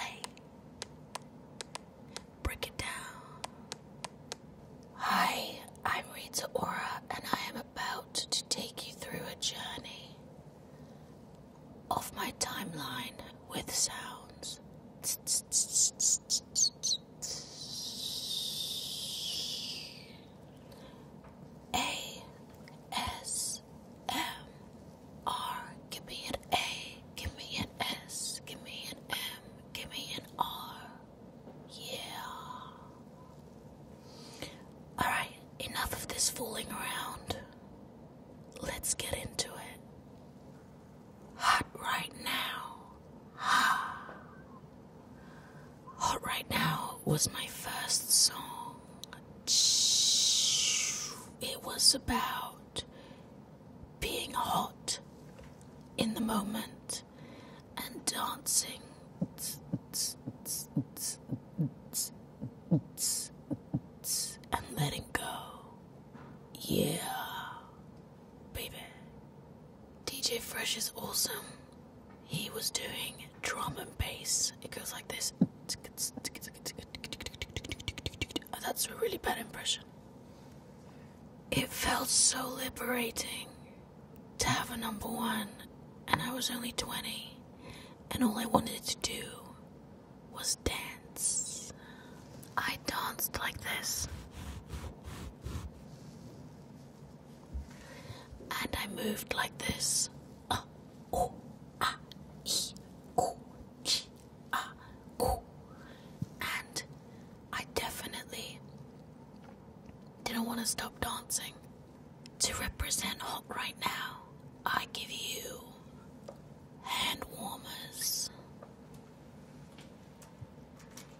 Hey, break it down. Hi, I'm Rita Ora, and I am about to take you through a journey of my timeline with sounds. A S M R. Give me an A. Give me an S. Give me an M. Give me an R. Yeah. Alright, enough of this fooling around. Let's get into it. Hot right now. Ha. Hot Right Now was my first song. It was about being hot in the moment and dancing. And letting go. Yeah baby. DJ Fresh is awesome. He was doing drum and bass. It goes like this. Oh, that's a really bad impression. It felt so liberating to have a number one, and I was only 20, and all I wanted to do was dance. I danced like this. And I moved like this. Uh, oh, ah, ee, ah, oh. And I definitely didn't want to stop dancing. To represent hot right now, I give you hand warmers.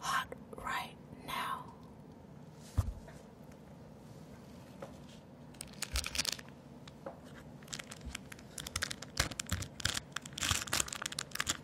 Hot right now.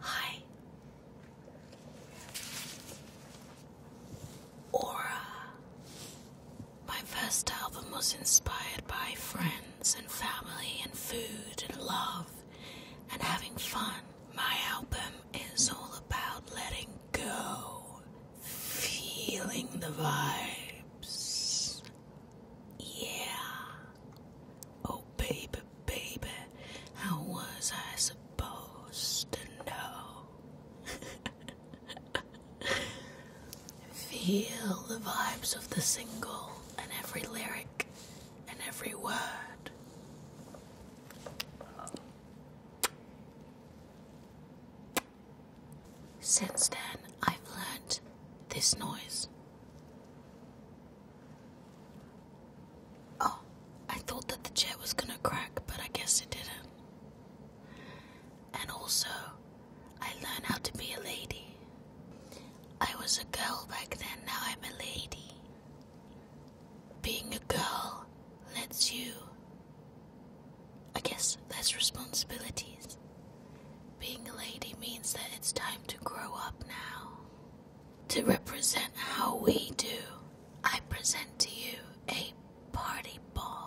Hi. Aura. My first album was inspired by friends and family and food and love and having fun. My album is all about letting go, feeling the vibes, yeah. Oh, baby, baby, how was I supposed to know? Feel the vibes of the single and every lyric and every word. Since then, I've learned this noise. Oh, I thought that the chair was gonna crack, but I guess it didn't. And also, I learned how to be a lady. I was a girl back then, now I'm a lady. Being a girl lets you, I guess, less responsibilities. Being a lady means that it's time to grow up now. To represent how we do, I present to you a party ball.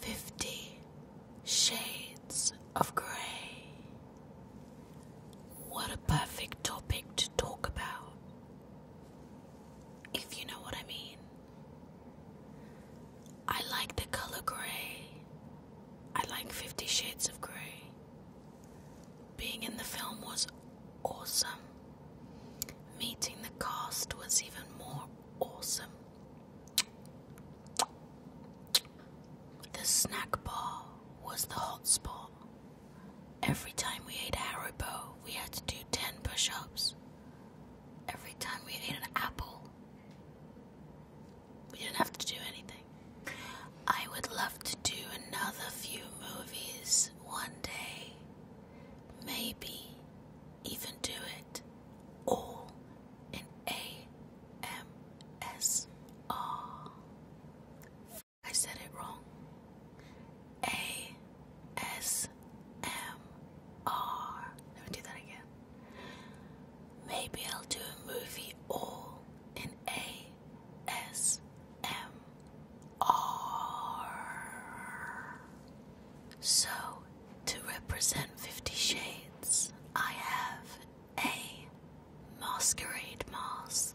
Fifty Shades of Grey. What a perfect topic to talk about, if you know what I mean. I like the color grey, I like Fifty Shades of Grey. Being in the film was awesome, meeting the cast was even more awesome. The snack bar was the hot spot. Every time we ate Haribo, we had to do 10 push ups. Every time we ate an apple, we didn't have to do anything. I would love to do another few movies one day. Maybe even do it all in AMSR. I said it wrong. ASMR. Let me do that again. Maybe I'll do a movie all in ASMR. So, to represent Fifty Shades, I have a. Masquerade mask.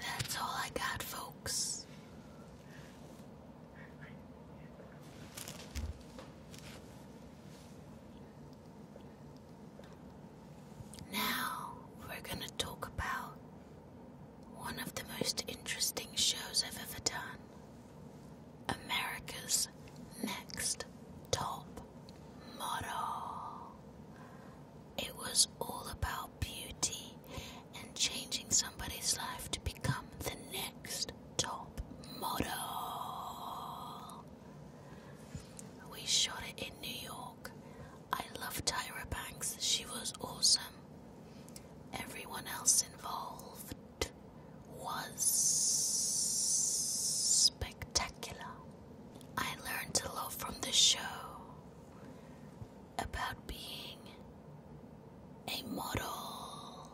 That's all I got, folks. Now we're going to talk about one of the most interesting shows I've ever done America's Next Top motto. It was all about beauty and changing somebody's life to become the next top model. We shot it in New York. I love Tyra Banks, she was awesome. Everyone else involved was spectacular. I learned a lot from the show about being a model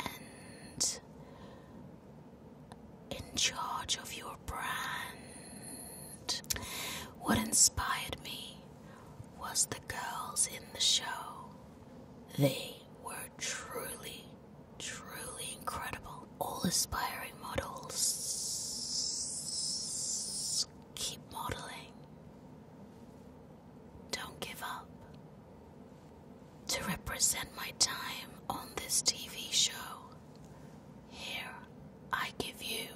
and in charge of your brand. What inspired me was the girls in the show. They they were truly, truly incredible. All aspiring models keep modeling. Don't give up. To represent my time on this TV show, here I give you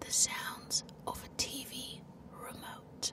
the sounds of a TV remote.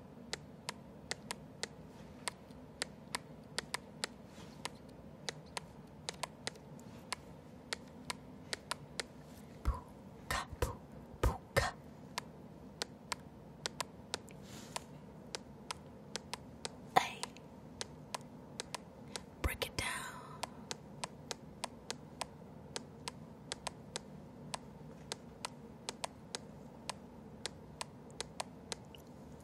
Puka, puka. Hey, break it down.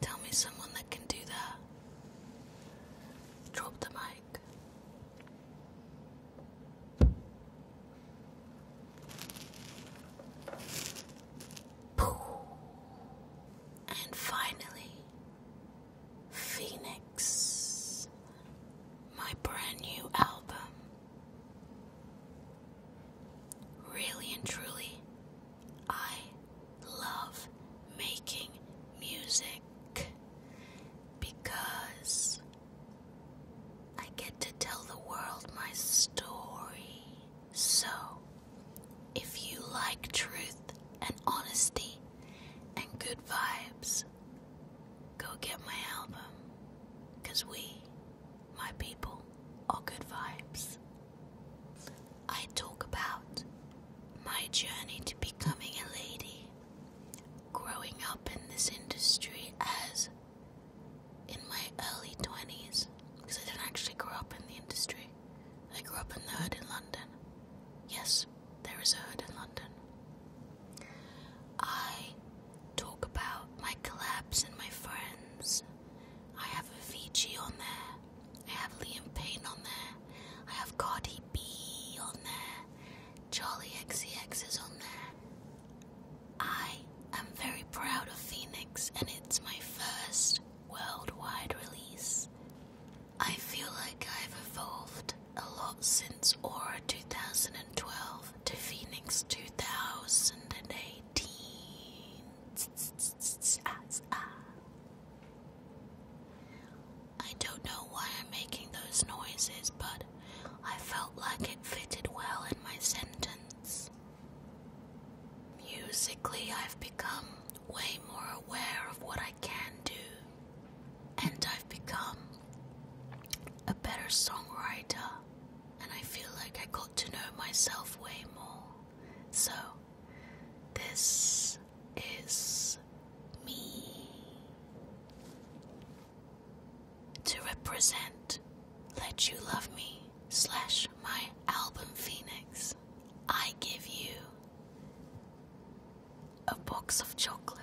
Tell me someone that can do that. Drop the mic. And finally, Phoenix, my brand new album Really and truly, I love making music because I get to tell the world my story. So, if you like truth and honesty and good vibes, go get my album because we my people are good vibes. I talk about my journey to becoming a lady, growing up in this industry as in my early 20s, because I didn't actually grow up in the industry. I grew up in the hood in London. Yes, there is a hood in London. I talk about my collapse and my friends. I have a Avicii on there. I have Liam Payne on there. I have Cardi B on there. Jolly XCX is on there. I am very proud of Phoenix and it's my first worldwide release. I feel like I've evolved a lot since Aura 2012 to Phoenix 2018. I don't know why I'm making those noises, but I felt like it fitted well in my sentence. Musically, I've become way more aware of what I can do, and I've become a better songwriter, and I feel like I got to know myself way more. So, this is me. To represent Let You Love Me slash my album Phoenix, I give you a box of chocolate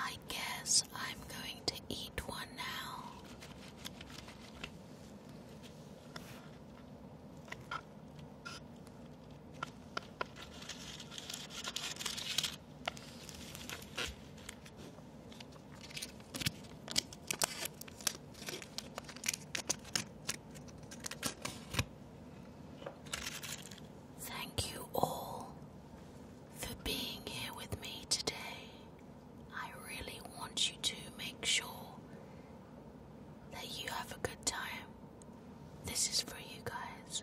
I guess I'm going to eat one now. Thank you all for being here with me today. I really want you to make sure that you have a good time this is for you guys.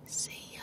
See ya.